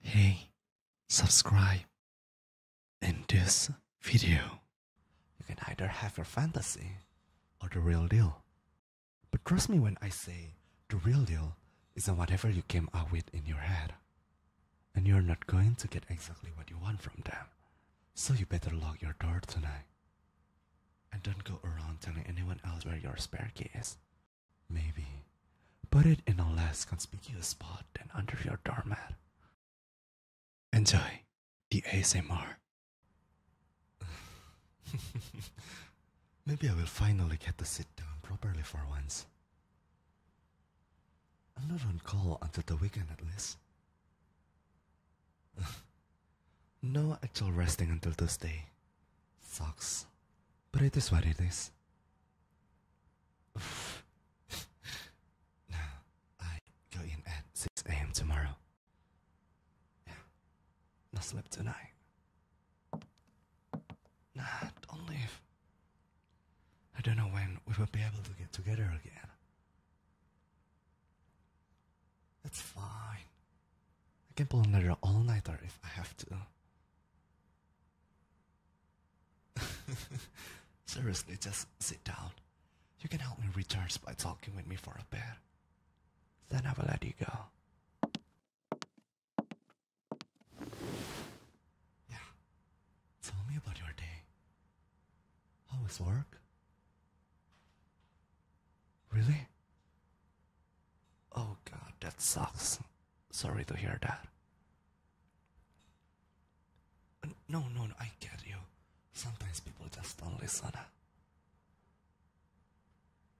Hey, subscribe. In this video, you can either have your fantasy or the real deal. But trust me when I say the real deal isn't whatever you came up with in your head. And you're not going to get exactly what you want from them. So you better lock your door tonight. And don't go around telling anyone else where your spare key is. Maybe. Put it in a less conspicuous spot than under your doormat. Enjoy the ASMR. Maybe I will finally get to sit down properly for once. I'm not on call until the weekend at least. no actual resting until Tuesday. Sucks. But it is what it is. I go in at 6 a.m. tomorrow. Yeah. Not sleep tonight. Nah, don't leave. I don't know when we will be able to get together again. It's fine. I can pull another all-nighter if I have to. Seriously, just sit down. You can help me recharge by talking with me for a bit. Then I will let you go. Yeah. Tell me about your day. How is work? Really? Oh god, that sucks. Sorry to hear that. No, no, no, I get you. Sometimes people just don't listen.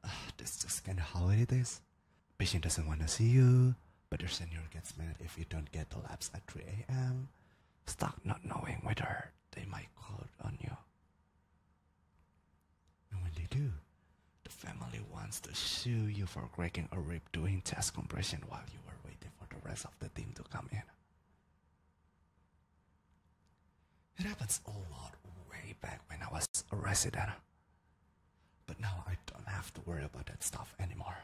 Uh, this just kinda how it is. Patient doesn't want to see you, but your senior gets mad if you don't get the labs at 3 a.m. Stuck not knowing whether they might call on you. And when they do, the family wants to sue you for cracking a rib doing chest compression while you were waiting for the rest of the team to come in. It happens a lot way back when I was a resident. But now I don't have to worry about that stuff anymore.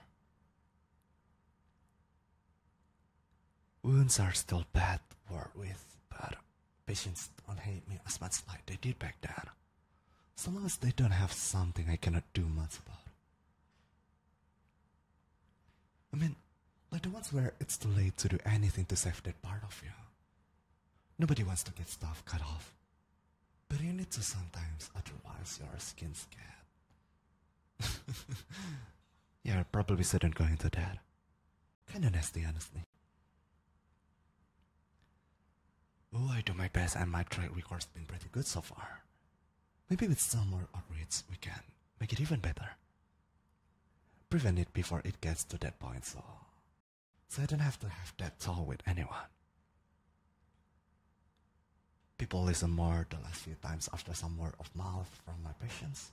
Wounds are still bad to with, but patients don't hate me as much as they did back then. So long as they don't have something I cannot do much about. I mean, like the ones where it's too late to do anything to save that part of you. Nobody wants to get stuff cut off. But you need to sometimes, otherwise your skin's scared. yeah, I probably shouldn't go into that. Kinda nasty, honestly. Oh, I do my best and my track records has been pretty good so far. Maybe with some more outreach we can make it even better. Prevent it before it gets to that point so, I don't have to have that talk with anyone. People listen more the last few times after some word of mouth from my patients,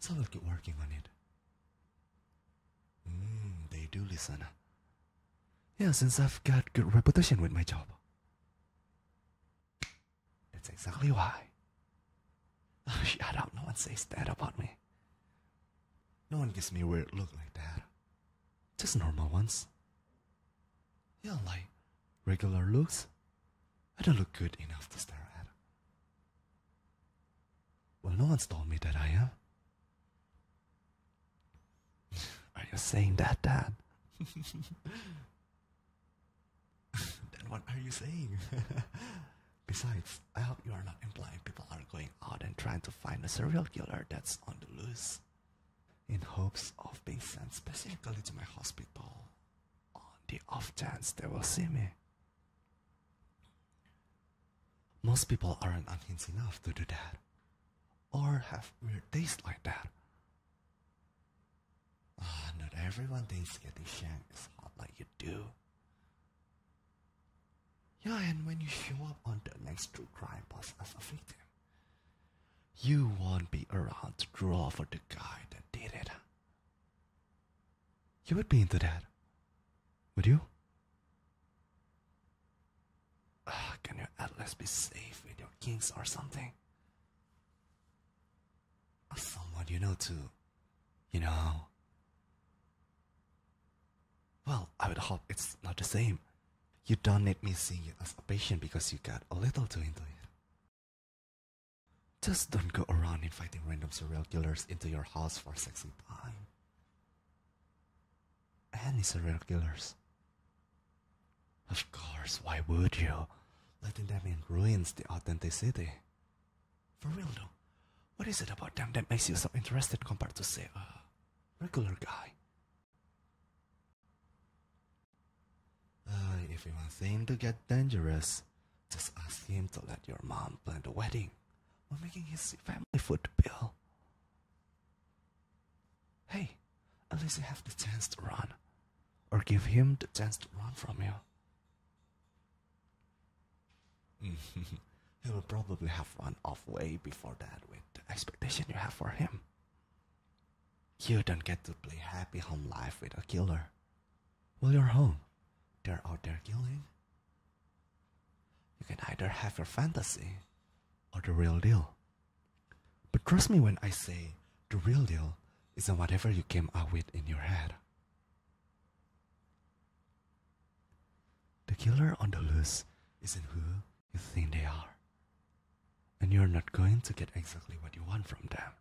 so i will keep working on it. Mm, they do listen. Yeah, since I've got good reputation with my job. That's exactly why. shut up, no one says that about me. No one gives me weird look like that. Just normal ones. Yeah, like regular looks. I don't look good enough to stare at. Well, no one's told me that I am. Are you saying that, Dad? then what are you saying? Besides, I hope you are not implying people are going out and trying to find a serial killer that's on the loose in hopes of being sent specifically to my hospital on the off chance they will see me. Most people aren't unhinged enough to do that, or have weird tastes like that. Ah, not everyone thinks getting shanked is hot like you do. Yeah, and when you show up on the next true crime boss as a victim, you won't be around to draw for the guy that did it. You would be into that, would you? Ah, can your atlas be safe with your kings or something? Ah, someone you know too, you know? Well, I would hope it's not the same. You don't need me seeing you as a patient because you got a little too into it. Just don't go around inviting random serial killers into your house for sexy time. Any serial killers. Of course, why would you? Letting them in ruins the authenticity. For real though, what is it about them that makes you so interested compared to, say, a regular guy? Uh, if you want things to get dangerous, just ask him to let your mom plan the wedding we're making his family food bill. Hey, at least you have the chance to run. Or give him the chance to run from you. he will probably have run off way before that with the expectation you have for him. You don't get to play happy home life with a killer. Well, you're home. They're out there killing, you can either have your fantasy or the real deal. But trust me when I say the real deal isn't whatever you came up with in your head. The killer on the loose isn't who you think they are. And you're not going to get exactly what you want from them.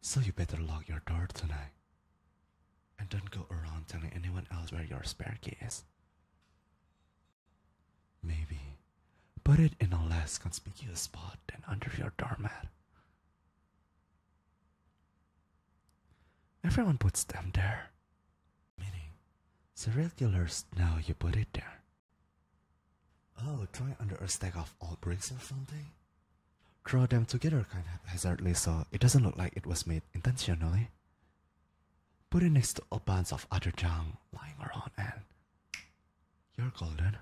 So you better lock your door tonight. And don't go around telling anyone else where your spare key is. Maybe put it in a less conspicuous spot than under your doormat. Everyone puts them there. Meaning, serial killers know you put it there. Oh, try under a stack of old bricks or something? Throw them together kind of haphazardly, so it doesn't look like it was made intentionally. Put it next to a bunch of other junk lying around and you're golden.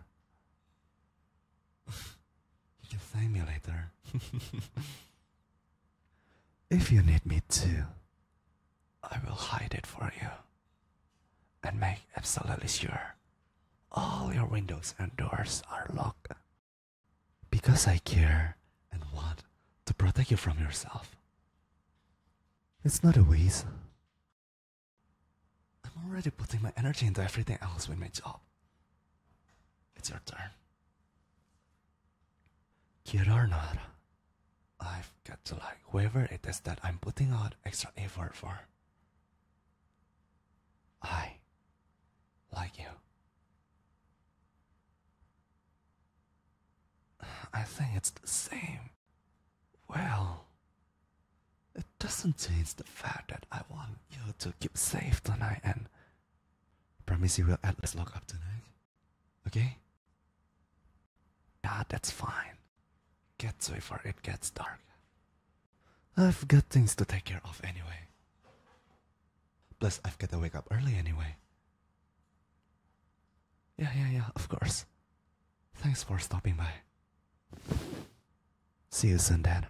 you can thank me later. if you need me to, I will hide it for you and make absolutely sure all your windows and doors are locked. Because I care and want to protect you from yourself. It's not a waste. I'm already putting my energy into everything else with my job. It's your turn. Kid or not, I've got to like whoever it is that I'm putting out extra effort for. I like you. I think it's the same. Well, it doesn't change the fact that I want you to keep safe tonight and promise you will at least lock up tonight. Okay? Yeah, that's fine. Get to it before it gets dark. I've got things to take care of anyway. Plus, I've got to wake up early anyway. Yeah, yeah, yeah, of course. Thanks for stopping by. See you soon, Dad.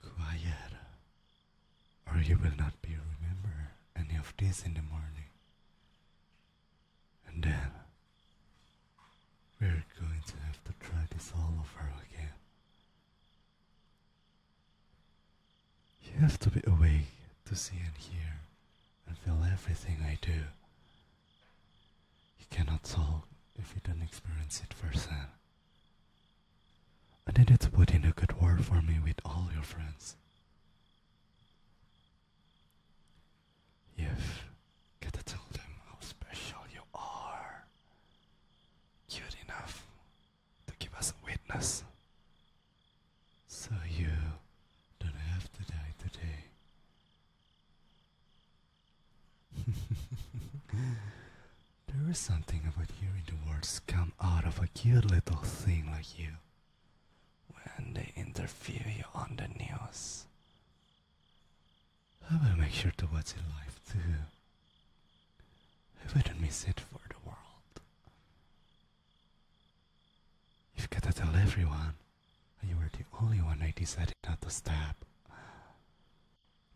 Quiet or you will not be remember any of this in the morning. And then we're going to have to try this all over again. You have to be awake to see and hear and feel everything I do. You cannot talk if you don't experience it firsthand. And needed to put in a good word for me with all your friends. you got to tell them how special you are. Cute enough to give us a witness. So you don't have to die today. There is something about hearing the words come out of a cute little thing like you when they interview you on the news. I will make sure to watch it live too. I wouldn't miss it for the world. You've got to tell everyone, you were the only one I decided not to stab.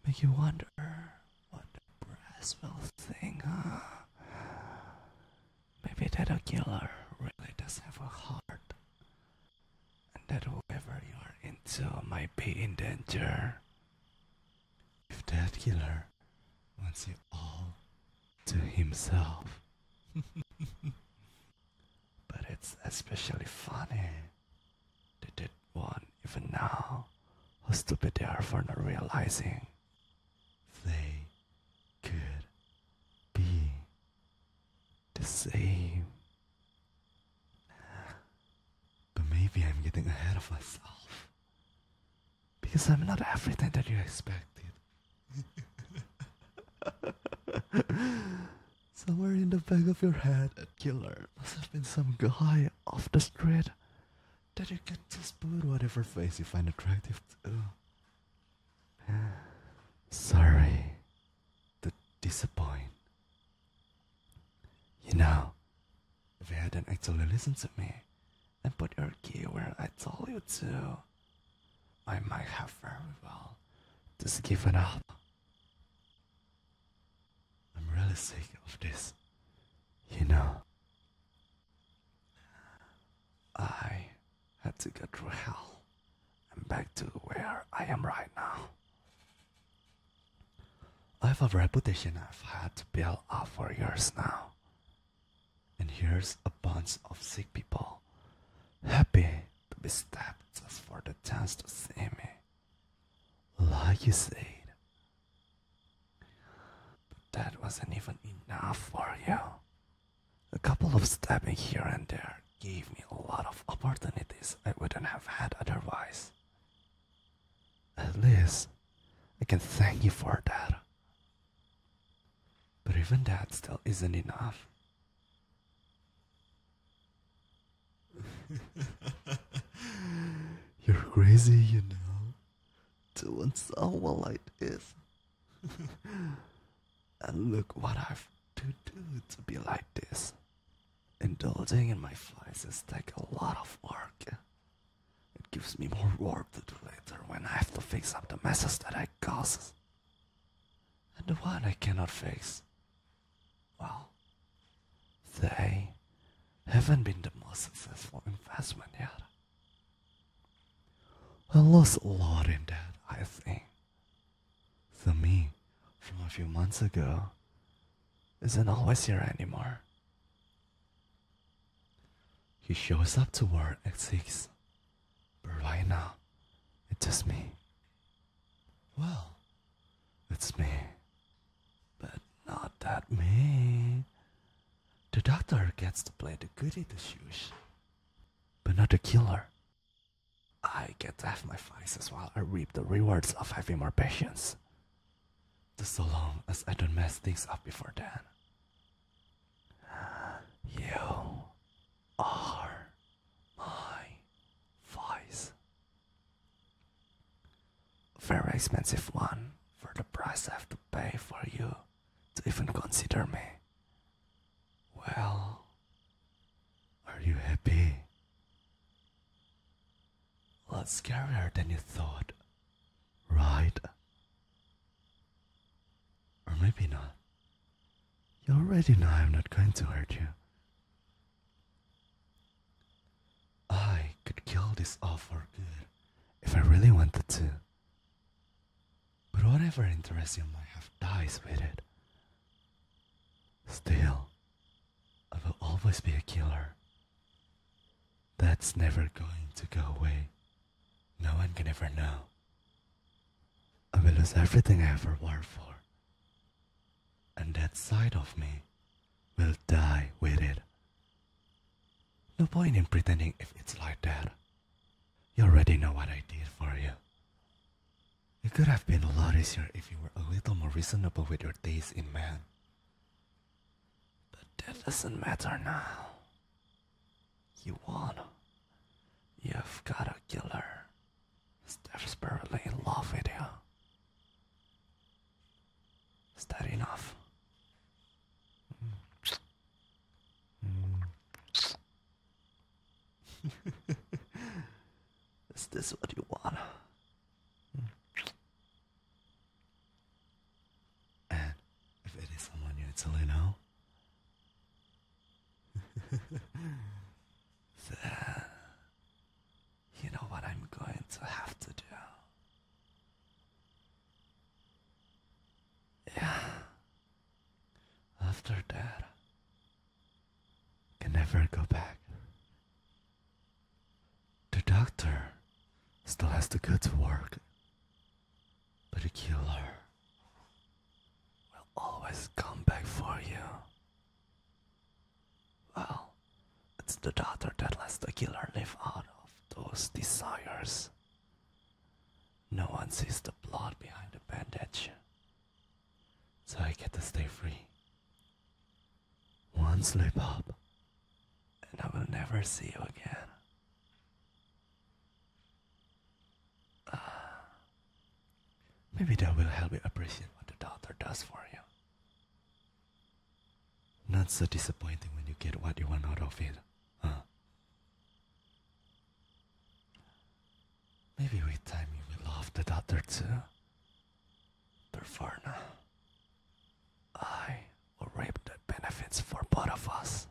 Make you wonder what the brass thing, think, huh? Maybe that killer really does have a heart. And that whoever you are into might be in danger. If that killer wants you all to himself. but it's especially funny they did one even now. How stupid they are for not realizing they could be the same. But maybe I'm getting ahead of myself. Because I'm not everything that you expected. Somewhere in the back of your head, a killer must have been some guy off the street that you get to put whatever face you find attractive to. Sorry to disappoint. You know, if you hadn't actually listened to me and put your key where I told you to, I might have very well just given up. I'm really sick of this, you know. I had to go through hell and back to where I am right now. I have a reputation I've had to build up for years now. And here's a bunch of sick people, happy to be stabbed just for the chance to see me. Like you said. But that wasn't even enough for you. A couple of stabbing here and there gave me a lot of opportunities I wouldn't have had otherwise. At least, I can thank you for that. But even that still isn't enough. You're crazy, you know, doing so well like this. and look what I've to do to be like this. Indulging in my vices takes a lot of work. It gives me more work to do later when I have to fix up the messes that I cause. And the one I cannot fix well, they haven't been the most successful investment yet. I lost a lot in that, I think. The me from a few months ago isn't always here anymore. He shows up to work at 6, but right now, it's just me. Well, it's me. But not that me. The doctor gets to play the goody two shoes, but not the killer. I get to have my vices while I reap the rewards of having more patience. Just so long as I don't mess things up before then. You are my vice. Very expensive one for the price I have to pay for you to even consider me. Well, are you happy? A lot scarier than you thought, right? Or maybe not. You already know I'm not going to hurt you. I could kill this all for good if I really wanted to. But whatever interest you might have dies with it. Still, I will always be a killer. That's never going to go away. No one can ever know. I will lose everything I ever worked for and that side of me will die with it. No point in pretending if it's like that. You already know what I did for you. It could have been a lot easier if you were a little more reasonable with your taste in men. But that doesn't matter now. You won. You've got a killer is barely in love with you. Is that enough? is this what you want? And if it is someone you actually know, then You know what I'm going to have to do? Yeah. After that, I can never go back. The doctor still has to go to work, but the killer will always come back for you. Well, it's the daughter that lets the killer live out of those desires. No one sees the blood behind the bandage. So I get to stay free. One slip up, and I will never see you again. Uh, Maybe that will help you appreciate what the doctor does for you. Not so disappointing when you get what you want out of it, huh? Maybe with time you will love the doctor too. Perforna. I will reap the benefits for both of us.